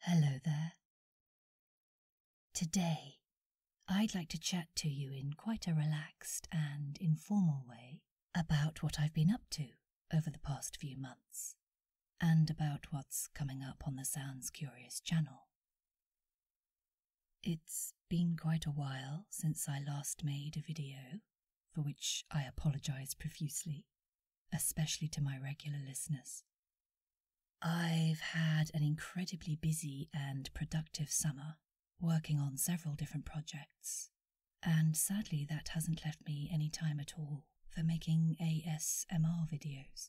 Hello there. Today, I'd like to chat to you in quite a relaxed and informal way about what I've been up to over the past few months and about what's coming up on the Sounds Curious channel. It's been quite a while since I last made a video, for which I apologise profusely, especially to my regular listeners. I've had an incredibly busy and productive summer, working on several different projects, and sadly, that hasn't left me any time at all for making ASMR videos.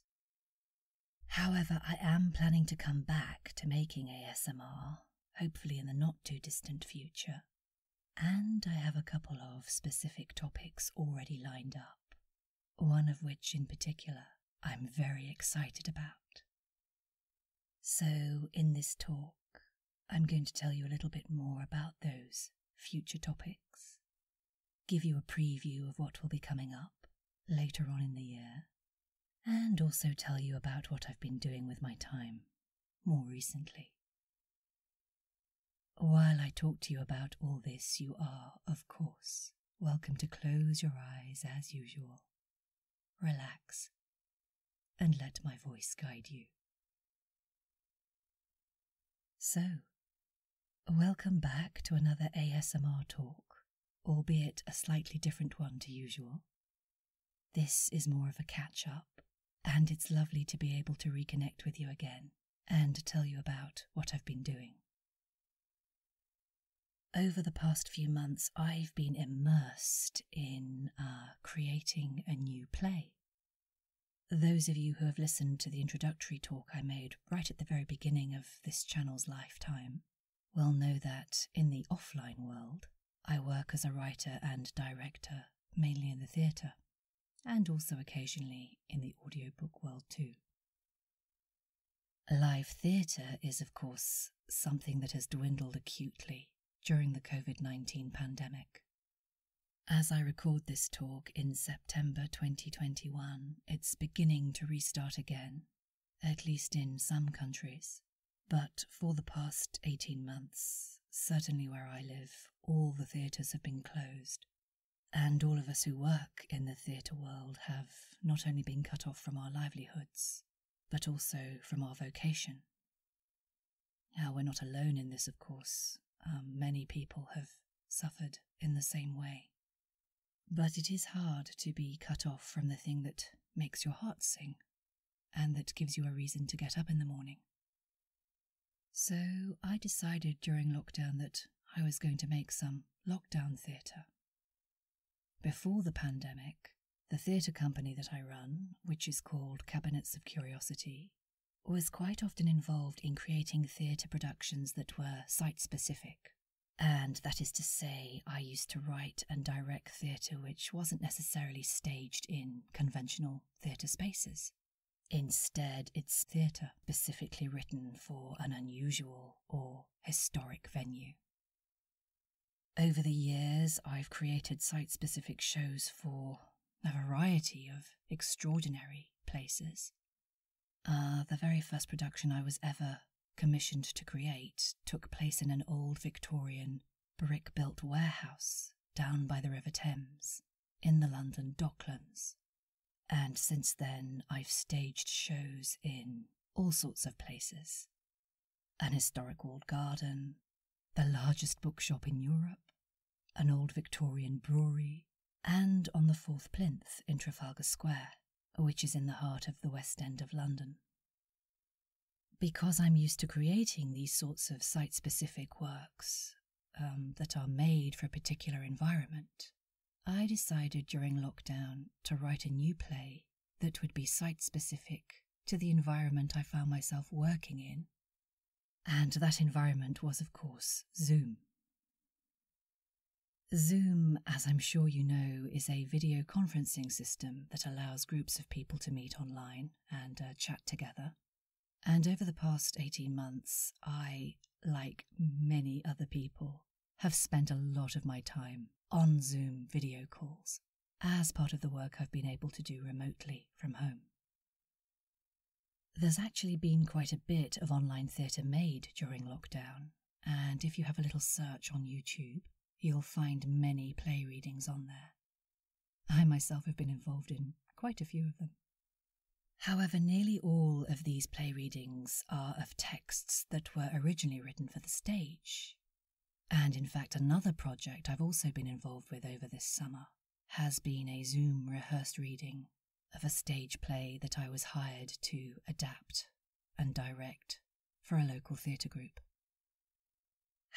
However, I am planning to come back to making ASMR, hopefully in the not too distant future, and I have a couple of specific topics already lined up, one of which in particular I'm very excited about. So, in this talk, I'm going to tell you a little bit more about those future topics, give you a preview of what will be coming up later on in the year, and also tell you about what I've been doing with my time more recently. While I talk to you about all this, you are, of course, welcome to close your eyes as usual, relax, and let my voice guide you. So, welcome back to another ASMR talk, albeit a slightly different one to usual. This is more of a catch up, and it's lovely to be able to reconnect with you again and tell you about what I've been doing. Over the past few months, I've been immersed in uh, creating a new play. Those of you who have listened to the introductory talk I made right at the very beginning of this channel's lifetime will know that in the offline world, I work as a writer and director, mainly in the theatre and also occasionally in the audiobook world too. Live theatre is, of course, something that has dwindled acutely during the COVID 19 pandemic. As I record this talk in September 2021, it's beginning to restart again, at least in some countries. But for the past 18 months, certainly where I live, all the theatres have been closed. And all of us who work in the theatre world have not only been cut off from our livelihoods, but also from our vocation. Now, we're not alone in this, of course. Um, many people have suffered in the same way. But it is hard to be cut off from the thing that makes your heart sing and that gives you a reason to get up in the morning. So I decided during lockdown that I was going to make some lockdown theatre. Before the pandemic, the theatre company that I run, which is called Cabinets of Curiosity, was quite often involved in creating theatre productions that were site specific. And that is to say, I used to write and direct theatre which wasn't necessarily staged in conventional theatre spaces. Instead, it's theatre specifically written for an unusual or historic venue. Over the years, I've created site specific shows for a variety of extraordinary places. Uh, the very first production I was ever commissioned to create took place in an old Victorian brick built warehouse down by the River Thames in the London Docklands. And since then, I've staged shows in all sorts of places an historic walled garden, the largest bookshop in Europe, an old Victorian brewery, and on the Fourth Plinth in Trafalgar Square, which is in the heart of the West End of London. Because I'm used to creating these sorts of site specific works, um, that are made for a particular environment, I decided during lockdown to write a new play that would be site specific to the environment I found myself working in. And that environment was, of course, Zoom. Zoom, as I'm sure you know, is a video conferencing system that allows groups of people to meet online and uh, chat together and over the past 18 months, I, like many other people, have spent a lot of my time on Zoom video calls as part of the work I've been able to do remotely from home. There's actually been quite a bit of online theatre made during lockdown, and if you have a little search on YouTube, you'll find many play readings on there. I myself have been involved in quite a few of them. However, nearly all of these play readings are of texts that were originally written for the stage. And in fact, another project I've also been involved with over this summer has been a Zoom rehearsed reading of a stage play that I was hired to adapt and direct for a local theatre group.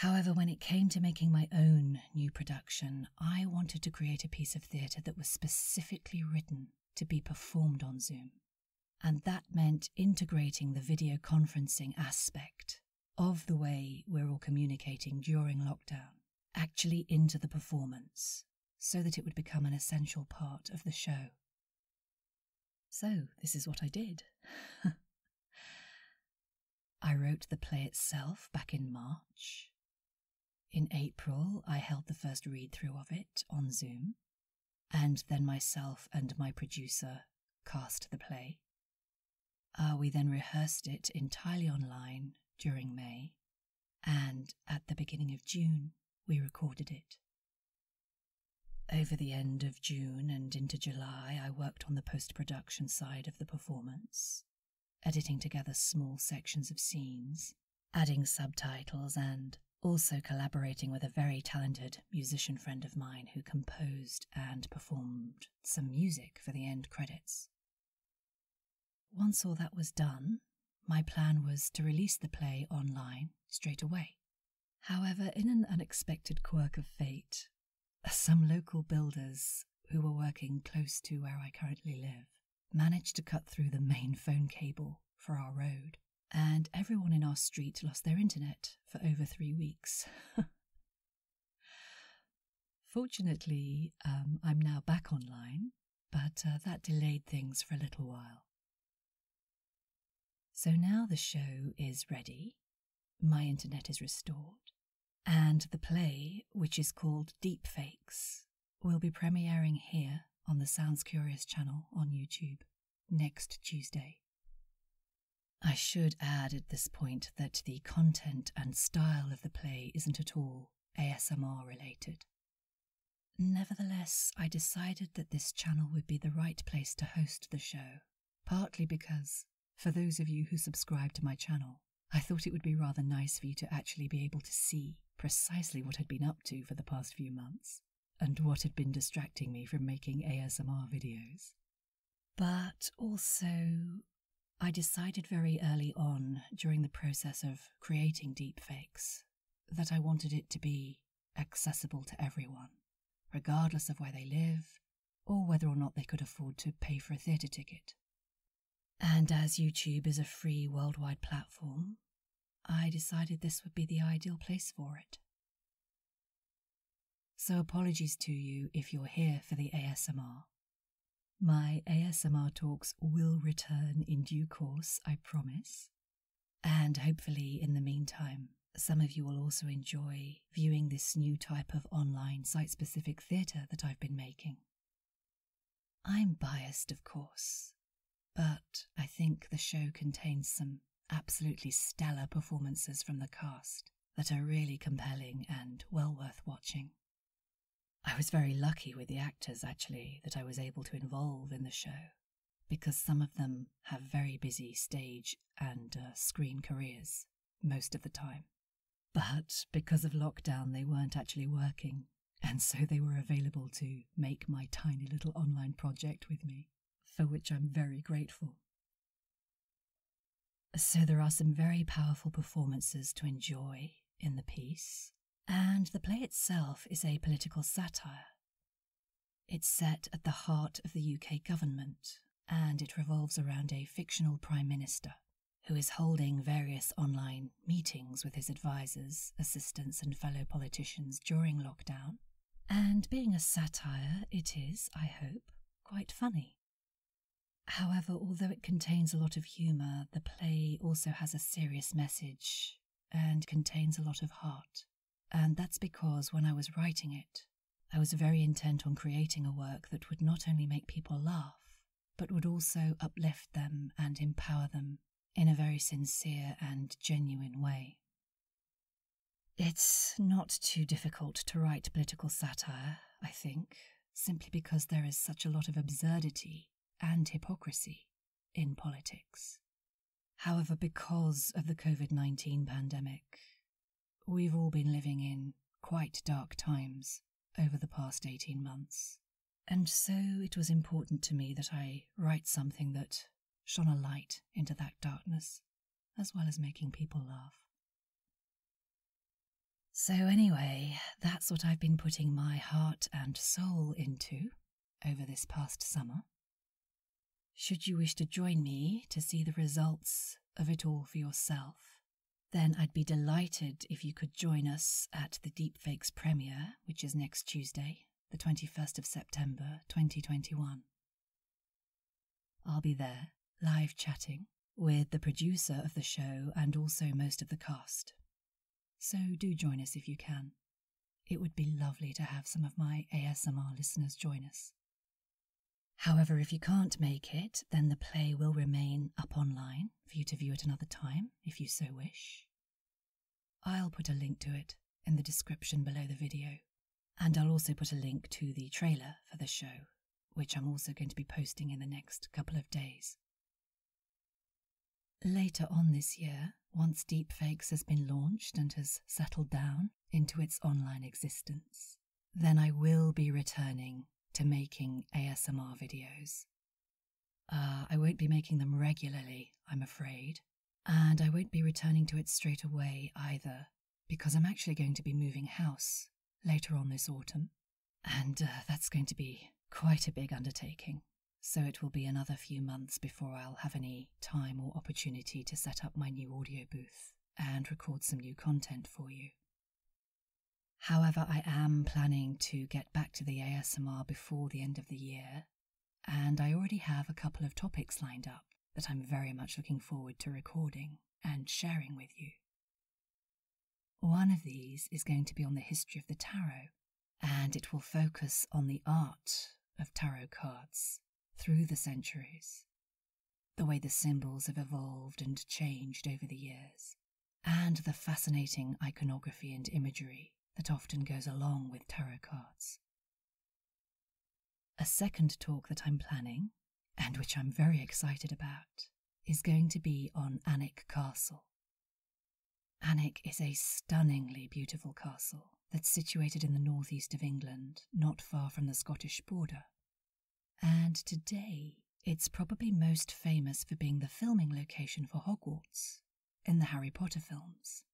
However, when it came to making my own new production, I wanted to create a piece of theatre that was specifically written to be performed on Zoom. And that meant integrating the video conferencing aspect of the way we're all communicating during lockdown actually into the performance so that it would become an essential part of the show. So, this is what I did. I wrote the play itself back in March. In April, I held the first read through of it on Zoom, and then myself and my producer cast the play. Uh, we then rehearsed it entirely online during May, and at the beginning of June, we recorded it. Over the end of June and into July, I worked on the post production side of the book performance, editing together small sections of scenes, adding subtitles, and also collaborating with a very talented musician friend of mine who composed and performed some music for the end credits. Once all that was done, my plan was to release the play online straight away. However, in an unexpected quirk of fate, some local builders who were working close to where I currently live managed to cut through the main phone cable for our road, and everyone in our street lost their internet for over three weeks. Fortunately, um, I'm now back online, but uh, that delayed things for a little while. So now the show is ready, my internet is restored, and the play, which is called Deepfakes, will be premiering here on the Sounds Curious channel on YouTube next Tuesday. I should add at this point that the content and style of the play isn't at all ASMR related. Nevertheless, I decided that this channel would be the right place to host the show, partly because for those of you who subscribe to my channel, I thought it would be rather nice for you to actually be able to see precisely what I'd been up to for the past few months and what had been distracting me from making ASMR videos. But also, I decided very early on during the process of creating deepfakes that I wanted it to be accessible to everyone, regardless of where they live, or whether or not they could afford to pay for a theatre ticket. And as YouTube is a free worldwide platform, I decided this would be the ideal place for it. So, apologies to you if you're here for the ASMR. My ASMR talks will return in due course, I promise. And hopefully, in the meantime, some of you will also enjoy viewing this new type of online site specific theatre that I've been making. I'm biased, of course, but I think the show contains some absolutely stellar performances from the cast that are really compelling and well worth watching. I was very lucky with the actors, actually, that I was able to involve in the show, because some of them have very busy stage and uh, screen careers most of the time. But because of lockdown, they weren't actually working, and so they were available to make my tiny little online project with me, for which I'm very grateful. So there are some very powerful performances to enjoy in the piece, and the play itself is a political satire. It's set at the heart of the UK government and it revolves around a fictional prime minister who is holding various online meetings with his advisers, assistants, and fellow politicians during lockdown. And being a satire, it is, I hope, quite funny. However, although it contains a lot of humour, the play also has a serious message and contains a lot of heart. And that's because when I was writing it, I was very intent on creating a work that would not only make people laugh, but would also uplift them and empower them in a very sincere and genuine way. It's not too difficult to write political satire, I think, simply because there is such a lot of absurdity and hypocrisy in politics. However, because of the COVID 19 pandemic, We've all been living in quite dark times over the past 18 months, and so it was important to me that I write something that shone a light into that darkness, as well as making people laugh. So, anyway, that's what I've been putting my heart and soul into over this past summer, should you wish to join me to see the results of it all for yourself, then I'd be delighted if you could join us at the Deepfakes premiere, which is next Tuesday, the 21st of September 2021. I'll be there, live chatting, with the producer of the show and also most of the cast. So do join us if you can. It would be lovely to have some of my ASMR listeners join us. However, if you can't make it, then the play will remain up online for you to view at another time if you so wish. I'll put a link to it in the description below the video, and I'll also put a link to the trailer for the show, which I'm also going to be posting in the next couple of days. Later on this year, once Deepfakes has been launched and has settled down, into its online existence, then I will be returning to making ASMR videos. Uh, I won't be making them regularly, I'm afraid, and I won't be returning to it straight away either, because I'm actually going to be moving house later on this autumn, and uh, that's going to be quite a big undertaking. So, it will be another few months before I'll have any time or opportunity to set up my new audio booth and record some new content for you. However, I am planning to get back to the ASMR before the end of the year, and I already have a couple of topics lined up that I'm very much looking forward to recording and sharing with you. One of these is going to be on the history of the tarot, and it will focus on the art of tarot cards through the centuries the way the symbols have evolved and changed over the years, and the fascinating iconography and imagery that often goes along with tarot cards. A second talk that I'm planning, and which I'm very excited about, is going to be on Annick Castle. Annick is a stunningly beautiful castle that's situated in the northeast of England, not far from the Scottish border. And today, it's probably most famous for being the filming location for Hogwarts in the Harry Potter films.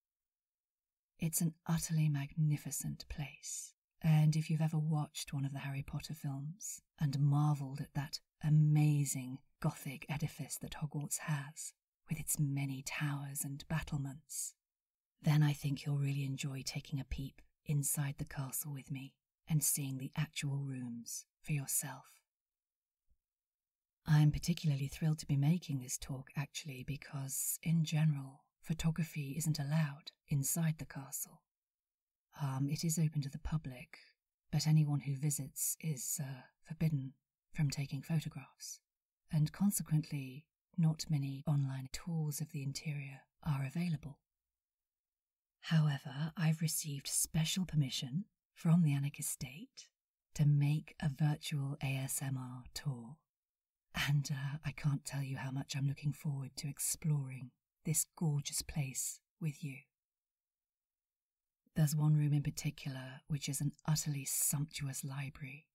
It's an utterly magnificent place, and if you've ever watched one of the Harry Potter films and marvelled at that amazing Gothic edifice that Hogwarts has, with its many towers and battlements, then I think you'll really enjoy taking a peep inside the castle with me and seeing the actual rooms for yourself. I am particularly thrilled to be making this talk, actually, because in general, photography isn't allowed inside the castle. Um, it is open to the public, but anyone who visits is uh, forbidden from taking photographs and consequently, not many online tours of the interior are available. However, I've received special permission from the Anarchist State to make a virtual ASMR tour, and uh, I can't tell you how much I'm looking forward to exploring this gorgeous place with you. There's one room in particular which is an utterly sumptuous library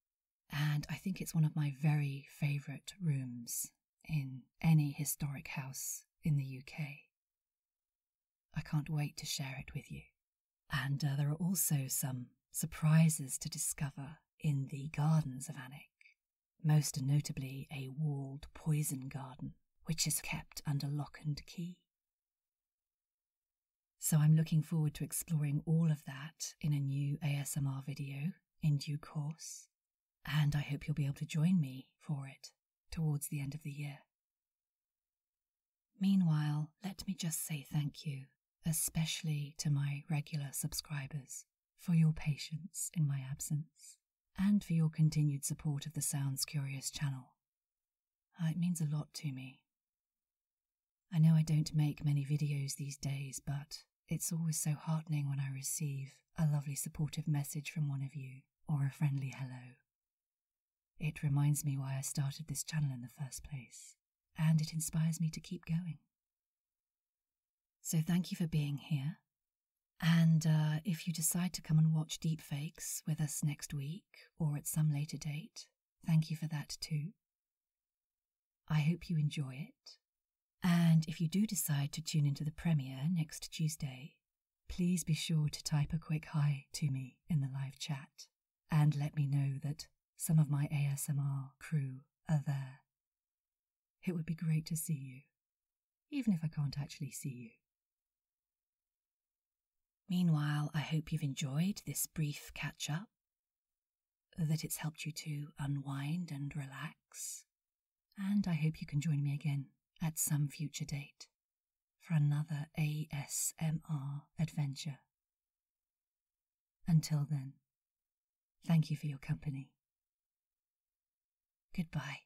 and I think it's one of my very favourite rooms in any historic house in the UK. I can't wait to share it with you. And uh, there are also some surprises to discover in the gardens of Alnwick, most notably a walled poison garden, which is kept under lock and key. So I'm looking forward to exploring all of that in a new ASMR video in due course, and I hope you'll be able to join me for it towards the end of the year. Meanwhile, let me just say thank you, especially to my regular subscribers, for your patience in my absence and for your continued support of the Sounds Curious channel. Uh, it means a lot to me. I know I don't make many videos these days, but it's always so heartening when I receive a lovely supportive message from one of you or a friendly hello. It reminds me why I started this channel in the first place, and it inspires me to keep going. So, thank you for being here. And uh, if you decide to come and watch Deepfakes with us next week or at some later date, thank you for that too. I hope you enjoy it. And if you do decide to tune into the premiere next Tuesday, please be sure to type a quick hi to me in the live chat and let me know that some of my ASMR crew are there. It would be great to see you, even if I can't actually see you. Meanwhile, I hope you've enjoyed this brief catch up that it's helped you to unwind and relax. And I hope you can join me again at some future date for another ASMR adventure. Until then, thank you for your company. Goodbye.